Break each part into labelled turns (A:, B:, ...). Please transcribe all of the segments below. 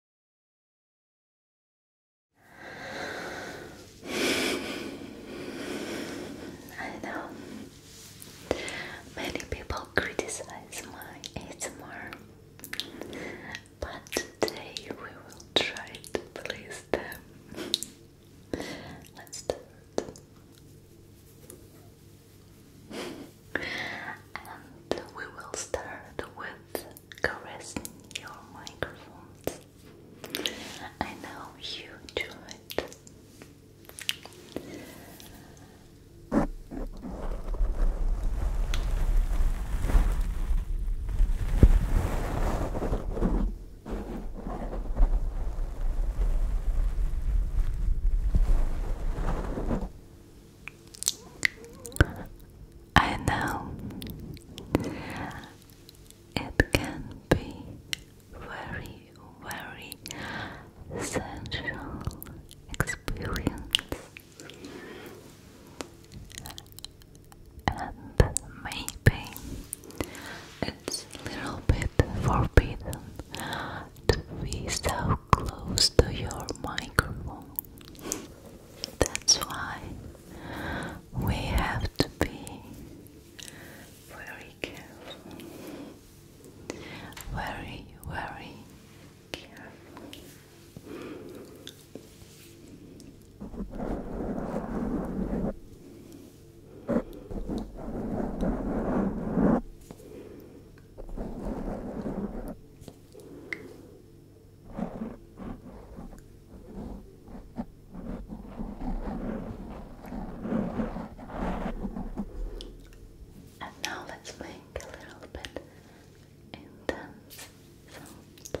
A: I know many people criticize my ASMR, but today we will try to please them. Let's start. And we will start with caress your microphones. I know you do it.
B: I know it can be very, very sensual experience and maybe it's a little bit forbidden to be so close to your microphone that's why we have to be very careful. Very, very careful. And now let's make a little bit intense sounds.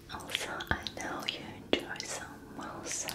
B: Also, I know you enjoy some mouth songs.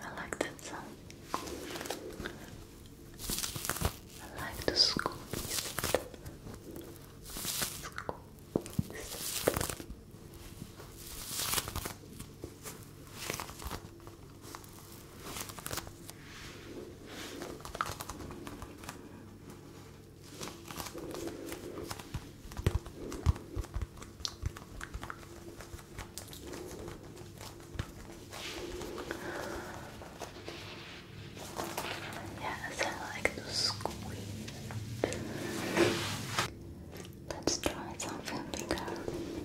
B: I like that sound. I like the school music. School Yes, I like to squeeze Let's try something bigger.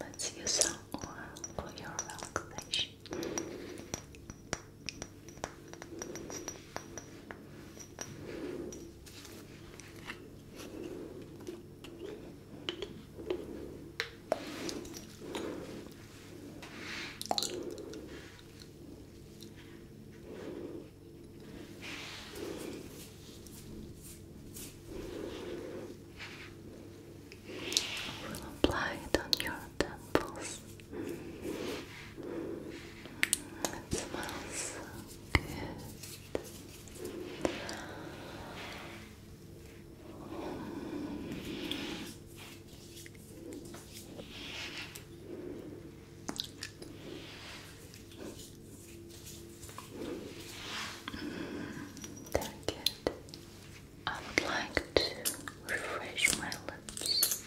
B: Let's use some oil for your relaxation. We'll apply it on your temples. Mm, it smells good. Delicate. I would like to refresh my lips.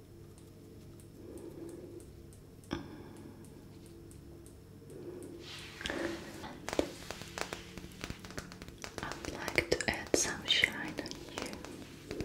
C: And I would like to add some shine on you. Okay.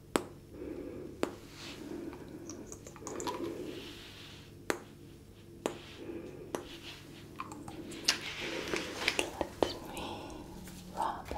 C: Let me rub it.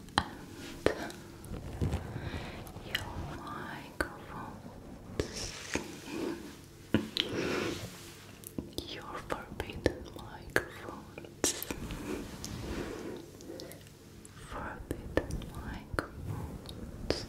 C: and your microphones. your forbidden microphones. Forbidden microphones.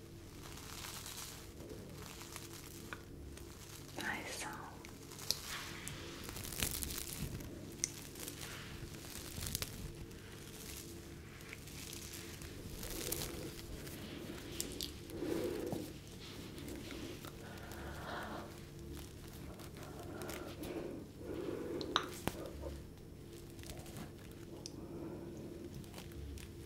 C: Nice sound.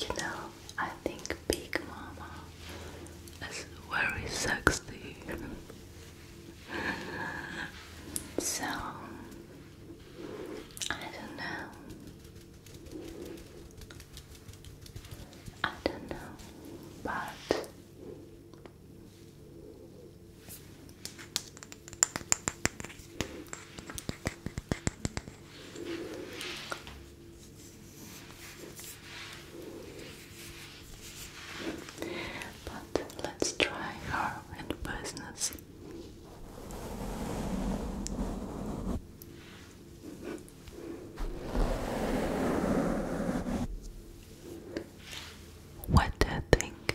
C: You know, I think Big Mama is very sexy. so, I don't know. I don't know, but
D: but let's try her in business.
E: What do you think?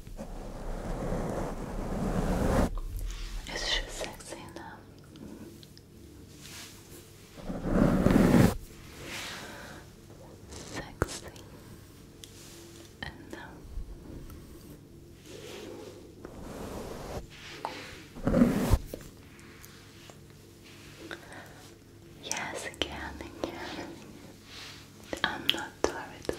E: Is she sexy enough?
F: Sexy enough. Yes, again, again. I'm not worried about this.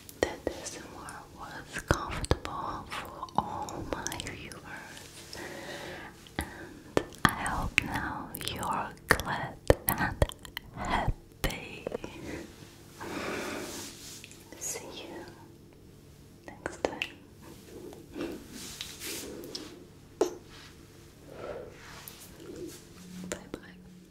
F: that this ASMR was comfortable for all my viewers. And I hope now you're glad and happy. See you next time. Bye bye.